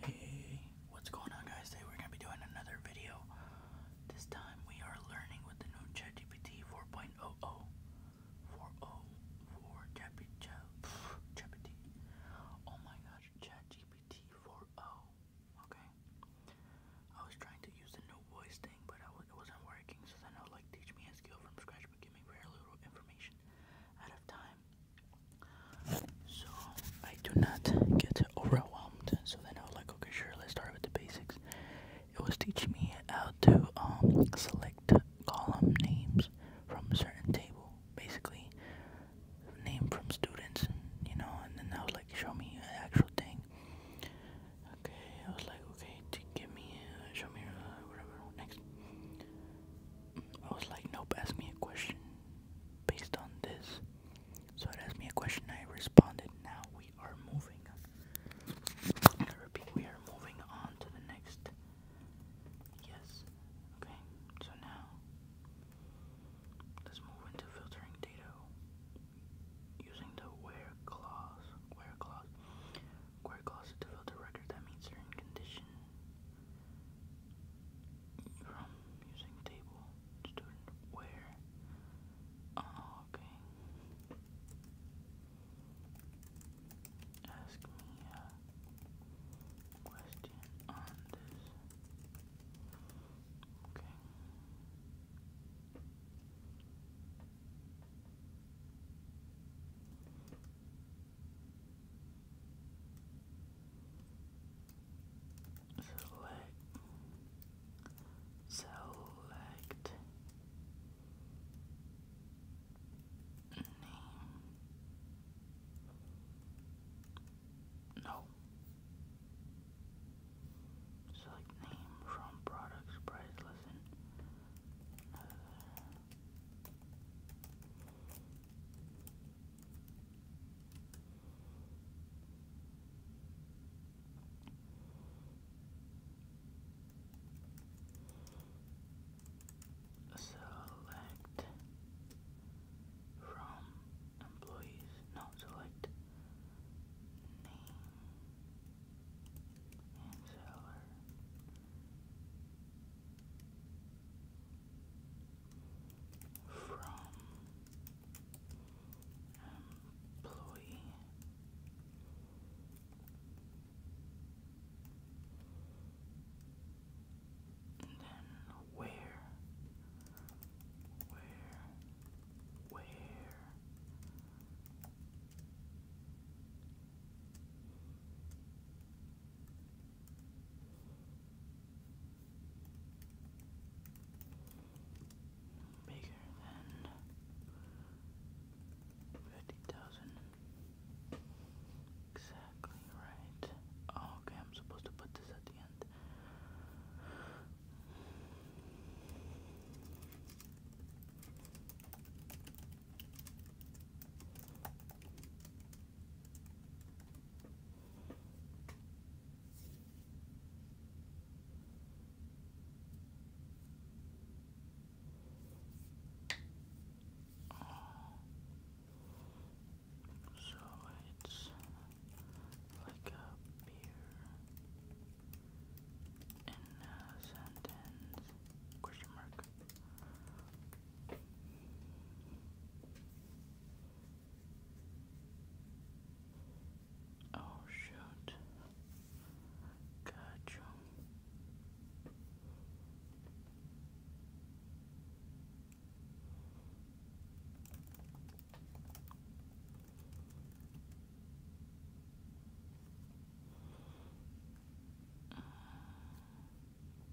Hey, what's going on guys? Today we're going to be doing another video. This time we are learning with the new ChatGPT 4.00 404 ChatGPT. Oh my gosh, ChatGPT 4.0. Okay. I was trying to use the new voice thing, but it wasn't working. So then I like teach me a skill from scratch, but give me very little information out of time. So I do not get overwhelmed. So then I was like, okay, sure, let's start with the basics. It was teaching me how to um, select column names from a certain table, basically name from students, you know. And then I was like, show me an actual thing. Okay, I was like, okay, give me, uh, show me, uh, whatever. Next, I was like, nope, ask me a question based on this. So it asked me a question, I responded. Now we are moving. we are moving on to the next. Yes. Okay, so now let's move into filtering data using the where clause. Where clause. Where clause to filter record that meets certain conditions from using table student where oh, okay ask me a question on this Okay select select name no select name from products price listen another uh, Select from employees. No, select name and seller from employee and then where where where bigger than fifty thousand. Exactly right. okay, I'm supposed to put this at the end. So it's like a beer in a sentence question mark. Oh, shoot. Got you. Select name,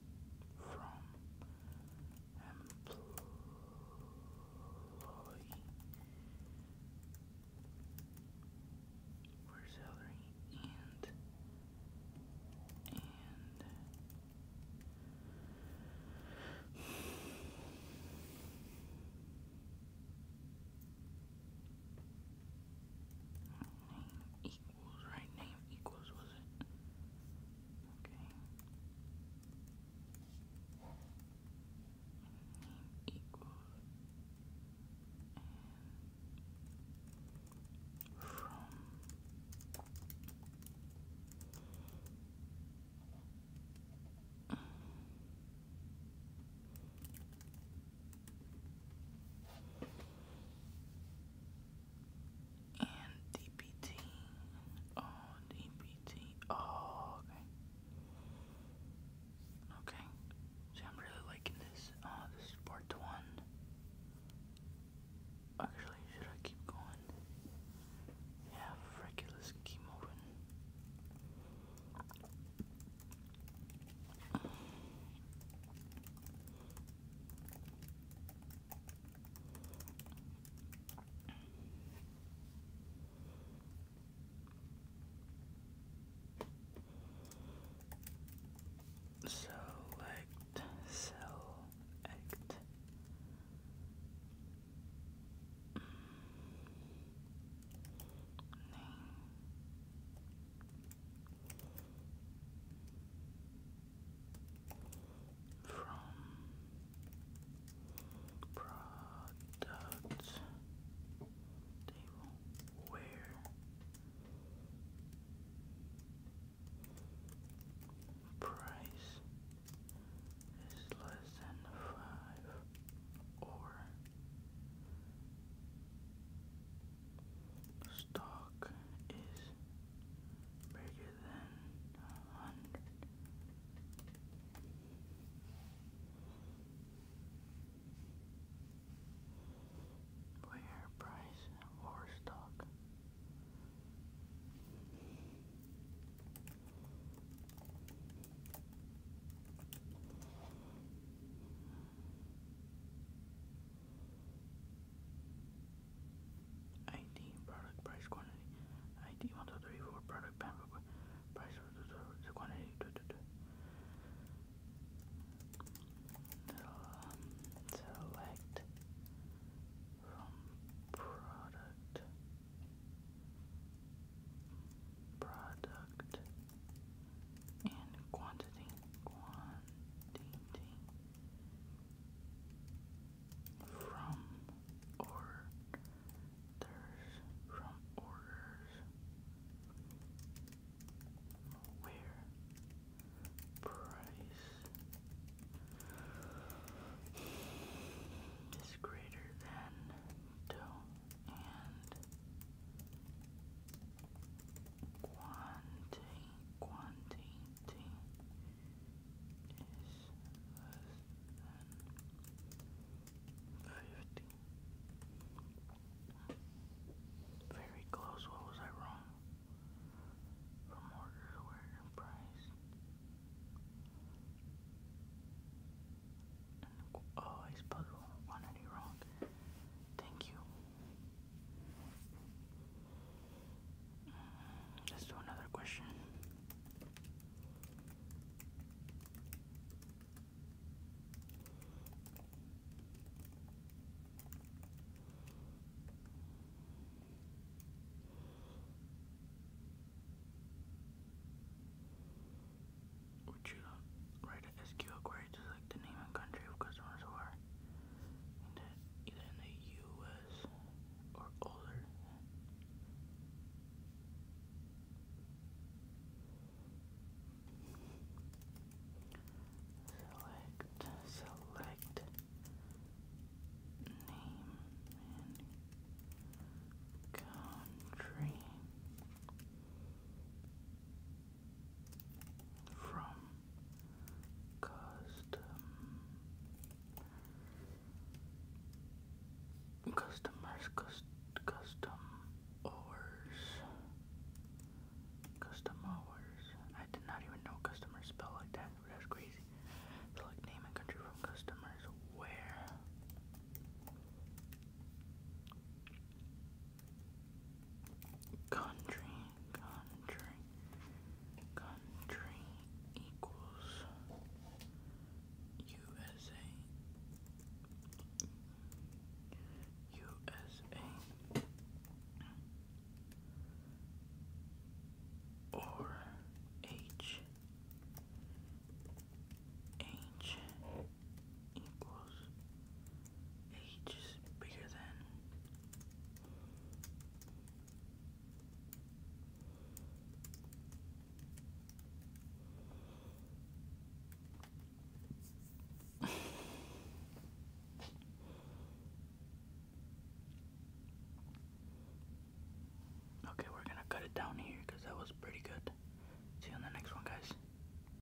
from employee for salary and and equals, right? Name equals, was it? Okay. Name equals. from and DPT. Oh, DPT. Oh, okay. Okay. See, I'm really liking this. Oh, this is part one. Actually, should I keep going? Yeah, frick it, let's keep moving. Select cell act. Name from product table where price is less than five or stock is bigger than hundred. Where price or stock? ID product price quantity. ID one two three four product pamphlet price the quantity. Duh, duh, duh. Um, select from product product and quantity quantity from orders from orders where price is greater than two and quantity, quantity is 50. Very close, what was I wrong? From order to price. oh, I spelled quantity wrong. Thank you. Let's do another question. Would you write is Kiwakori just like the name and country of customers who are either in the U.S. or older? Select, select name and country from custom customers cust custom hours custom hours I did not even know customers spell like that that's crazy select name and country from customers where Country, country, country equals USA, USA, or H, H, equals h is bigger than Okay, we're gonna cut it down here because that was pretty good. See you in the next one, guys.